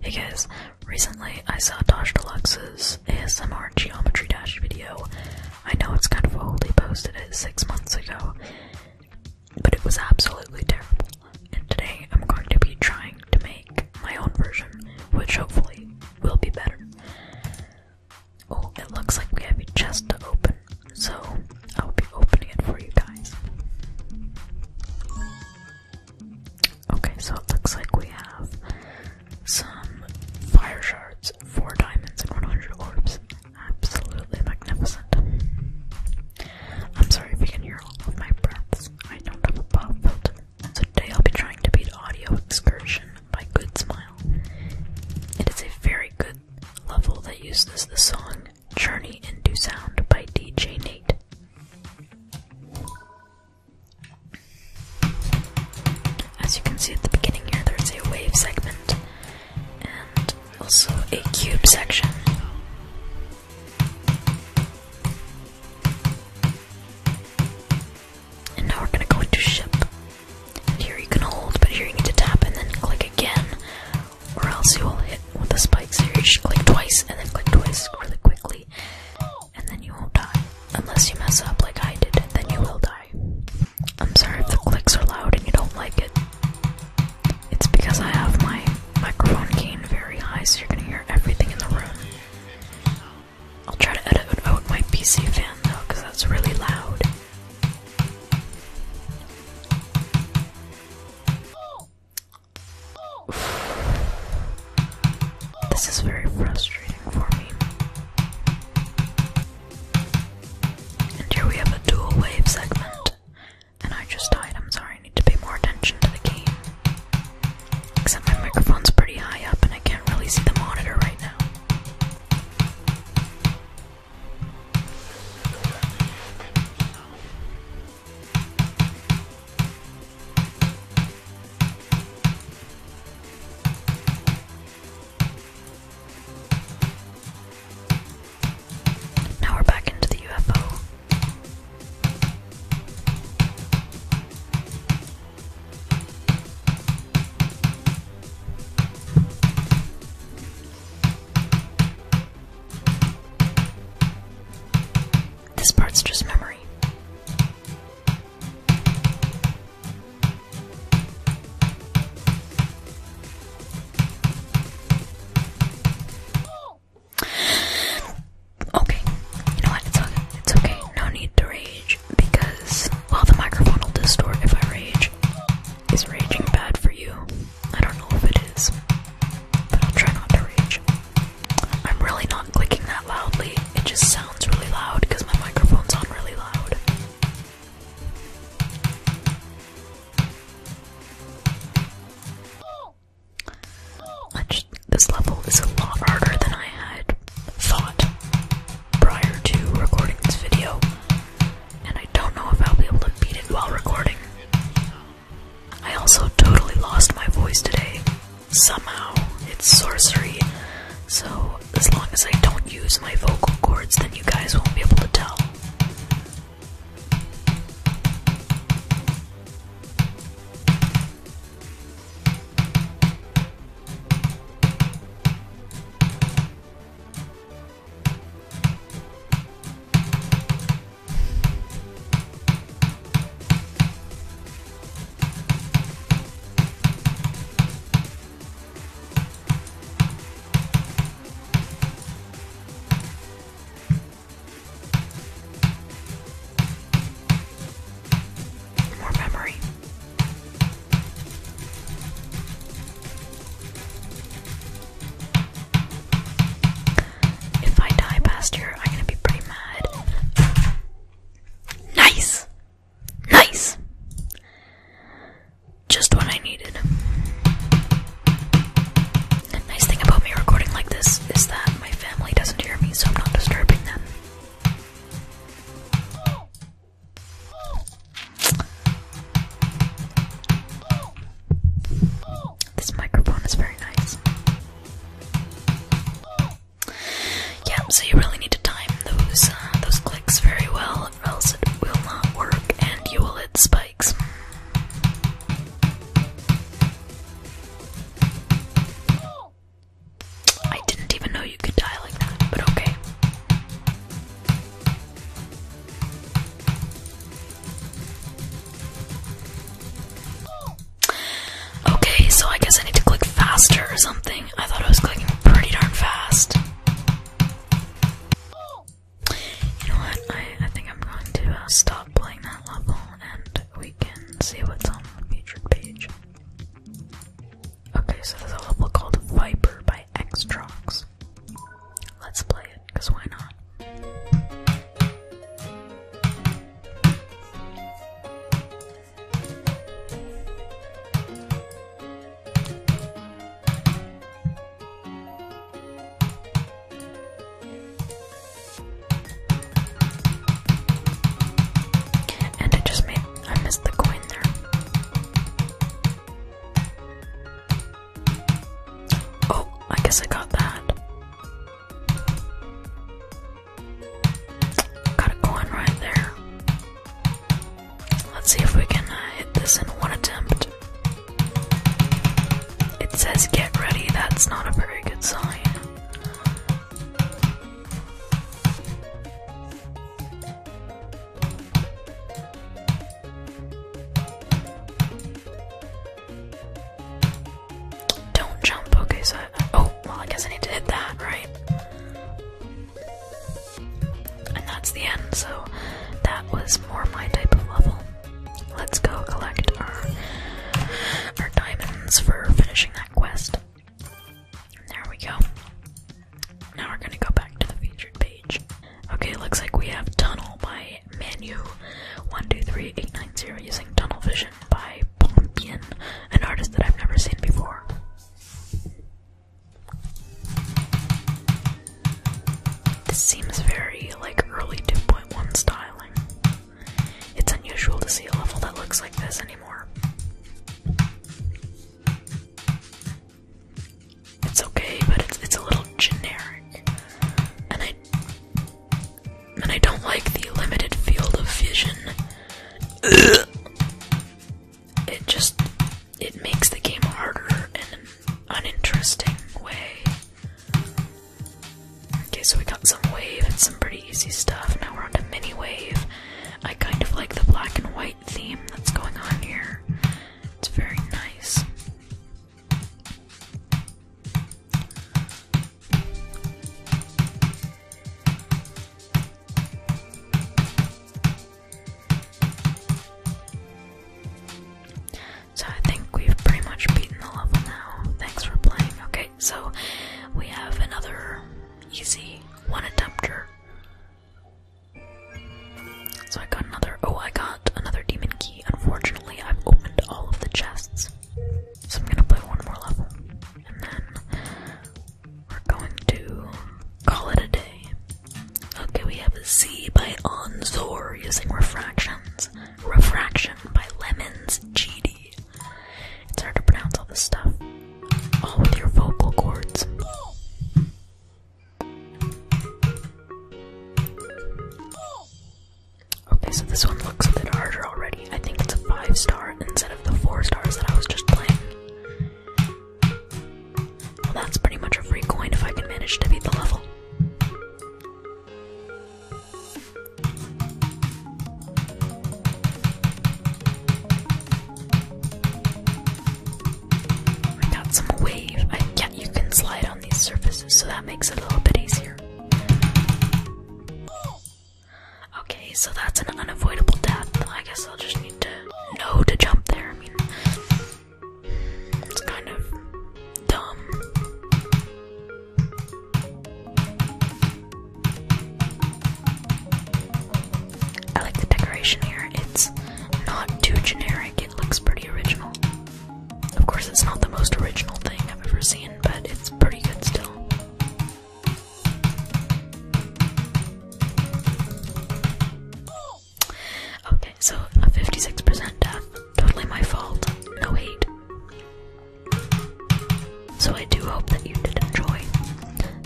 Hey guys, recently I saw Tosh Deluxe's ASMR Geometry Dash video. I know it's kind of old, he posted it six months ago, but it was absolutely terrible. And today I'm going to be trying to make my own version, which hopefully will be better. Oh, it looks like we have a chest to open, so I'll be opening it for you guys. Okay, so it looks like we have some fire shards, four diamonds, and 100 orbs. Absolutely magnificent. I'm sorry if you can hear all of my breaths. I don't have a pop filter. So today I'll be trying to beat Audio Excursion by Good Smile. It is a very good level that uses the song Journey into Sound by DJ Nate. As you can see at the beginning here, there's a wave segment and also a cube section. And now we're going to go into ship. here you can hold, but here you need to tap and then click again or else you will hit with the spikes here. You just click twice and then click twice really quickly, and then you won't die. Unless you mess up like I did, then you will die. I'm sorry if the clicks are loud and you don't like it. It's because I have my microphone gain very high, so you're gonna hear everything in the room. I'll try to edit out my PC fan though, because that's really loud. This is very frustrating for me. And here we have a dual wave segment. And I just died, I'm sorry, I need to pay more attention to the game. Except my microphone's pretty high up and I can't really see the monitor right now. Now we're back into the UFO. This part's just memory. Okay, you know what? It's okay. No need to rage because, well, the microphone will distort if I rage. Is raging bad for you? I don't know if it is, but I'll try not to rage. I'm really not clicking that loudly, it just sounds really loud because my microphone's on really loud. this level is a lot harder than I had thought prior to recording this video and I don't know if I'll be able to beat it while recording. I also totally lost my voice today. Somehow, it's sorcery. So, as long as I don't use my vocal cords, then you guys won't be able to tell. More memory. If I die past I'm gonna be pretty mad. Nice! Nice! Just what I needed. The nice thing about me recording like this is that my family doesn't hear me, so I'm not disturbing them. This microphone is very nice. Yeah, so you really need to time those uh, those clicks very well, or else it will not work, and you will hit spikes. I didn't even know you could die like that, but okay. Okay, so I guess I need to click faster or something. I thought I was clicking pretty darn fast. You know what? I, think I'm going to uh, stop playing that level and we can see what's on the featured page. Okay, so there's a level called Viper by Xtrox. Let's play it, because why not? And I just made I missed the coin there. Oh, I guess I got that. Got a coin right there. Let's see if we can uh, hit this in one attempt. It says get ready, that's not a very good sign. Don't jump, okay, so oh, well, I guess I need to hit that, right? And that's the end, so that was more my type of level. Let's go collect our, our diamonds for finishing that quest. There we go. Now we're gonna go back to the featured page. Okay, looks like we have Tunnel by Menu 123890 using Tunnel Vision by Pompian, an artist that I've never seen before. This seems very like early 2.1 styling. It's unusual to see a level that looks like this anymore. It's okay, but it's it's a little generic, and I and I don't like the limited field of vision. It just it makes the game harder in an uninteresting way. Okay, so we got some wave and some. pretty easy stuff. Now we're on to mini wave. I kind of like the black and white theme that's going on here. It's very nice. So I think we've pretty much beaten the level now. Thanks for playing. Okay, so we have another easy one attempter. So I got another. Oh, I got another demon key. Unfortunately, I've opened all of the chests. So I'm gonna play one more level. And then we're going to call it a day. Okay, we have Z by Onzor using refractions. Refraction by Lemons GD. It's hard to pronounce all this stuff. All oh, with your vocal cords. Okay, so this one looks a bit harder already. I think it's a five star instead of the four stars that I was just playing. Well, that's pretty much a free coin if I can manage to beat the level. I got some wave. yeah, you can slide on these surfaces, so that makes it a little bit easier. Okay, so that's an unavoidable death. I guess I'll just need to know to jump there. I mean, it's kind of dumb. I like the decoration here. It's not too generic, it looks pretty original. Of course, it's not the most original thing I've ever seen, but it's pretty good still. Okay, so a 56% death. Totally my fault. No hate. So I do hope that you did enjoy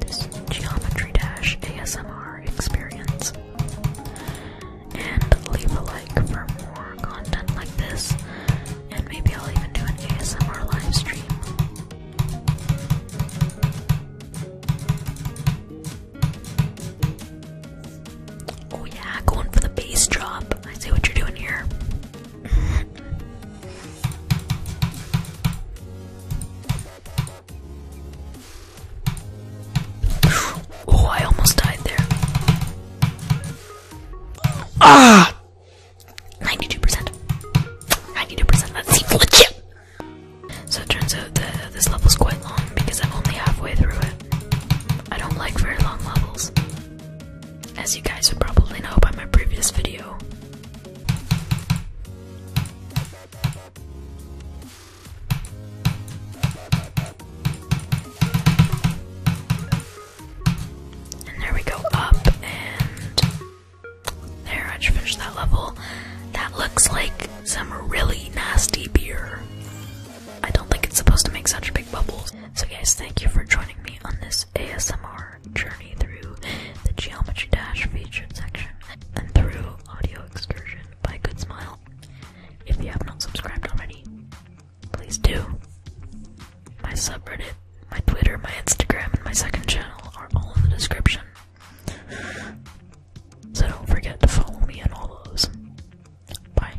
this Geometry Dash ASMR experience. And leave a like for more content like this, and maybe I'll even do an ASMR live stream. Oh yeah, going for the bass drop. I see what you're doing here oh, I almost died there. Ah! 92%. 92%. That seems legit! So it turns out that this level is quite long because I'm only halfway through it. I don't like very long levels as you guys would probably know by my previous video. And there we go up, and there I finished that level. That looks like some really nasty beer. I don't think it's supposed to make such big bubbles. So guys, thank you for joining me on this ASMR journey through the Geometry Dash featured section and through Audio Excursion by Good Smile. If you have not subscribed already, please do. My subreddit, my Twitter, my Instagram, and my second channel are all in the description. So don't forget to follow me on all those. Bye.